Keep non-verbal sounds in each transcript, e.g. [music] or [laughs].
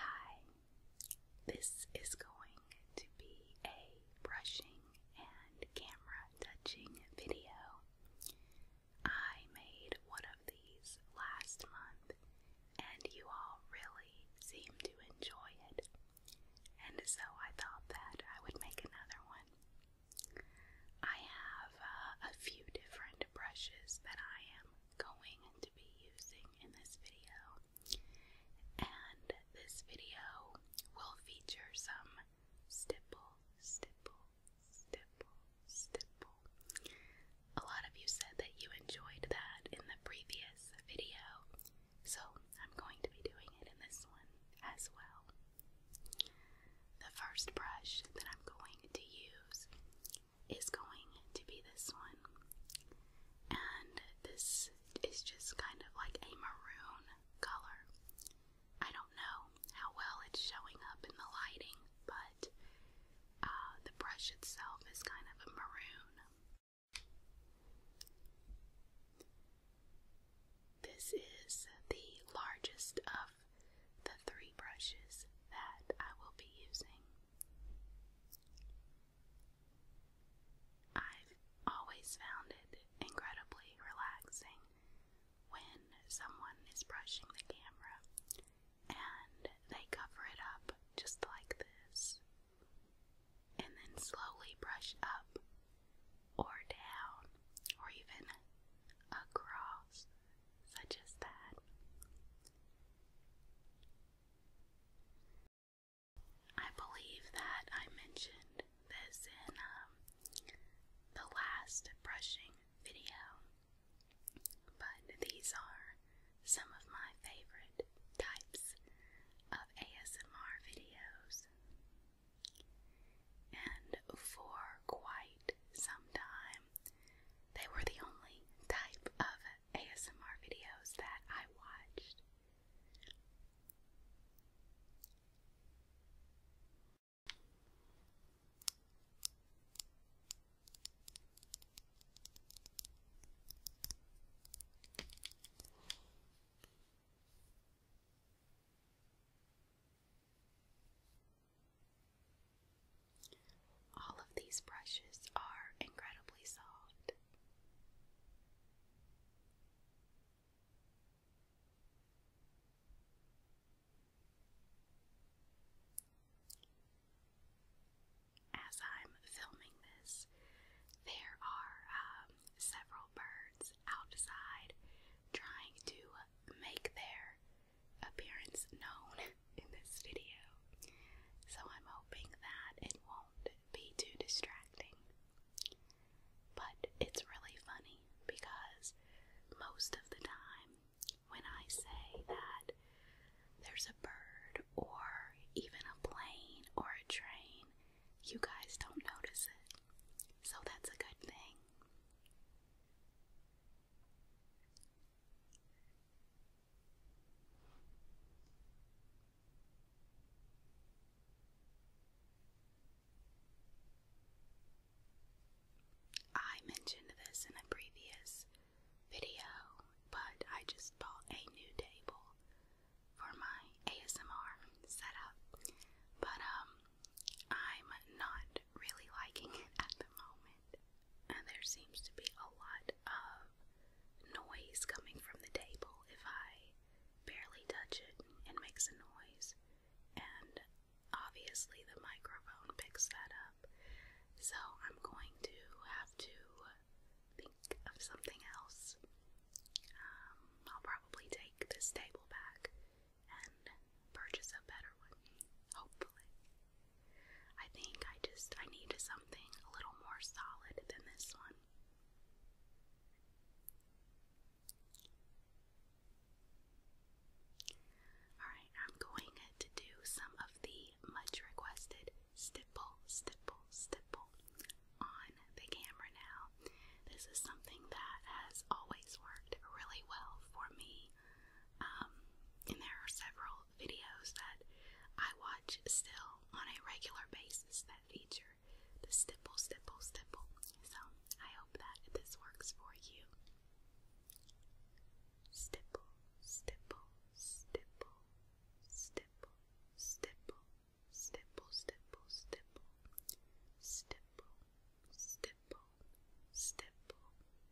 Hi, this is going to be a brushing and camera touching video. I made one of these last month and you all really seemed to enjoy it, and so I thought that I would make another one. I have uh, a few different brushes that I am going to be using in this video. And this video will feature some stipple, stipple, stipple, stipple. A lot of you said that you enjoyed that in the previous video, so I'm going to be doing it in this one as well. The first brush that I'm going to use is going to be this one. And this is just kind of like a maroon color. I don't know how well it's showing up in the lighting, but uh, the brush itself is kind of a maroon. This is the largest of the three brushes that I will be using. I've always found it incredibly relaxing when someone is brushing the camera and they cover it up just like this and then slowly brush up or down or even across, such as that. I believe that I mentioned this in um, the last brushing video, but these are some of my favorite types of ASMR videos. And for quite some time, they were the only type of ASMR videos that I watched. All of these brushes are incredibly soft. As I'm filming this, there are um, several birds outside trying to make their appearance known in this video, so I'm hoping that it won't be too distracting. But it's really funny because most of the time when I say that there's a bird or even a plane or a train, you guys don't notice it. So that's a good thing. I mentioned this in a previous video, but I just bought a new table for my ASMR setup, but um, I'm not really liking it at the moment and there seems to be a lot of noise coming from the table if I barely touch it and makes a noise and obviously the microphone picks that up so I'm going to have to think of something else um, I'll probably take this table back and purchase a better one hopefully. I think I just I needed something a little more solid than this one. Alright, I'm going to do some of the much requested stipple, stipple, stipple on the camera now. This is something that has always worked really well for me. Um, and there are several videos that I watch still on a regular basis that feature the stipple, stipple, stipple. So I hope that this works for you. Stipple, stipple, stipple, stipple, stipple, stipple, stipple, stipple, stipple, stipple, stipple,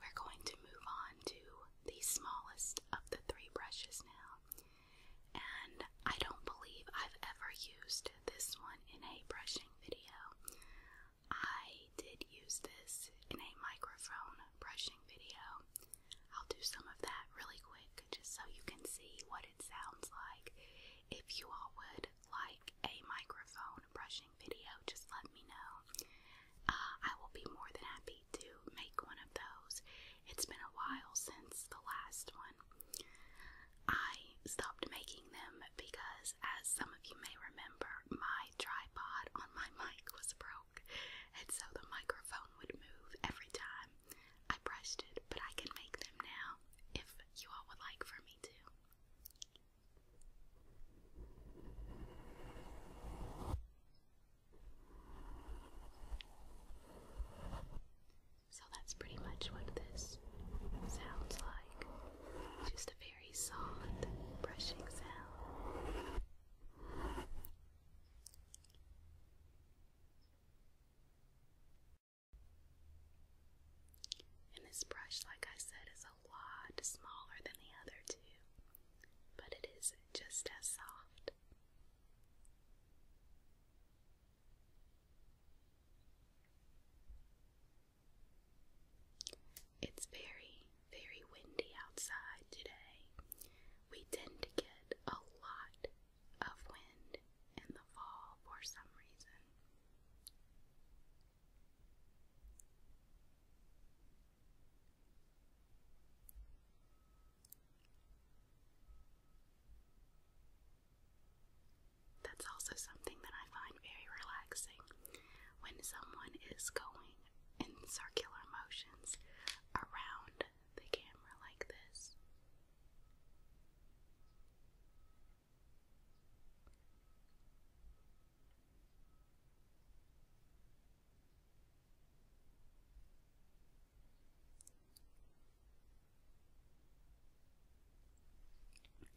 We're going to move on to the smallest of the three brushes now. And I don't believe I've ever used this one in a brushing video. I did use this in a microphone brushing video. I'll do some of that really quick just so you can see what it sounds like. If you all would like a microphone brushing video, just let me know. Uh, I will be more than happy to make one of those. It's been a while since the last one. I stopped making them because, as some of you may remember, my tripod on my [laughs] mic was broke, and so the microphone would move every time I brushed it. But I can make them now if you all would like for me to. So that's pretty much what this sounds like. Just a very soft brushing sound. And this brush, like I said, is a lot smaller than the other two but it is just as soft. It's very, very windy outside today. We tend to get a lot of wind in the fall for some reason. That's also something that I find very relaxing when someone is going in circular motions around the camera like this.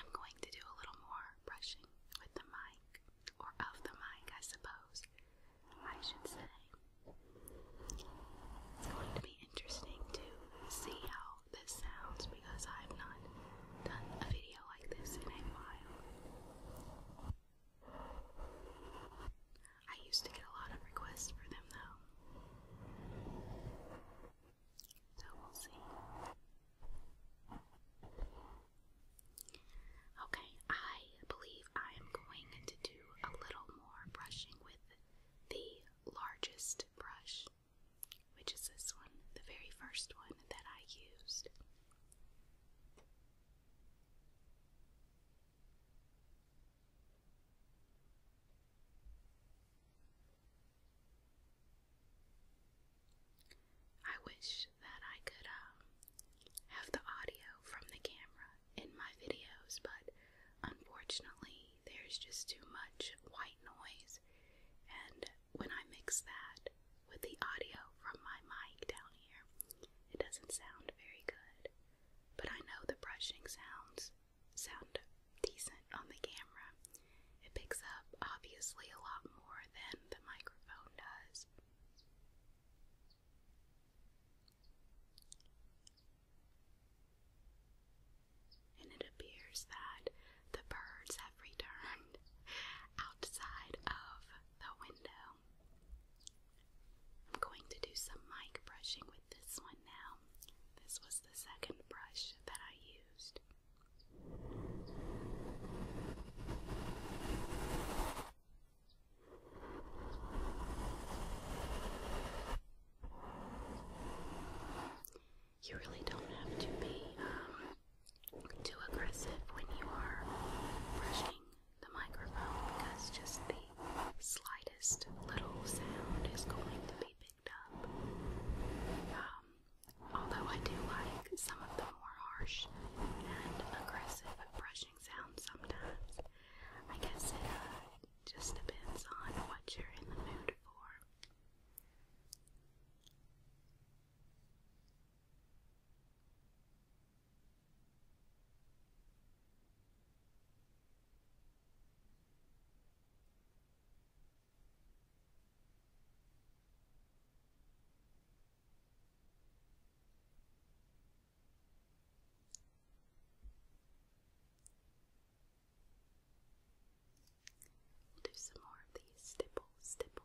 I'm going to do a little more brushing with the mic, or of the mic, I suppose, I should say. It's going to be interesting to see how this sounds because I've not done a video like this in a while. I used to get a lot of requests for them though. So we'll see. Okay, I believe I am going to do a little more brushing with the largest brush, which is this one, the very first one that I used. I wish that I could um, have the audio from the camera in my videos, but unfortunately, there's just too much white noise, and when I mix that with the audio from my mic down here, it doesn't sound very good. But I know the brushing sounds sound decent on the camera. It picks up obviously a lot more than the microphone does. And it appears that the birds have returned [laughs] outside of the window. I'm going to do some mic brushing with this one now. This was the second brush that I used. You really don't have to be um, too aggressive when you are brushing the microphone because just the slightest little sound is going to be picked up. Um, although I do like some of the more harsh and aggressive brushing sounds sometimes, I guess it uh, just depends on what you're in the mood for. We'll do some more of these stipple, stipple,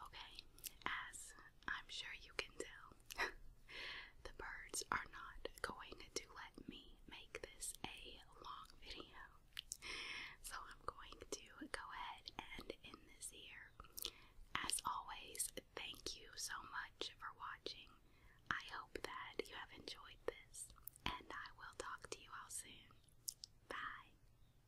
Okay, as I'm sure you can tell, [laughs] the birds are not going to let me make this a long video. So I'm going to go ahead and end this here. As always, thank you so much for watching. I hope that you have enjoyed this, and I will talk to you all soon. Bye.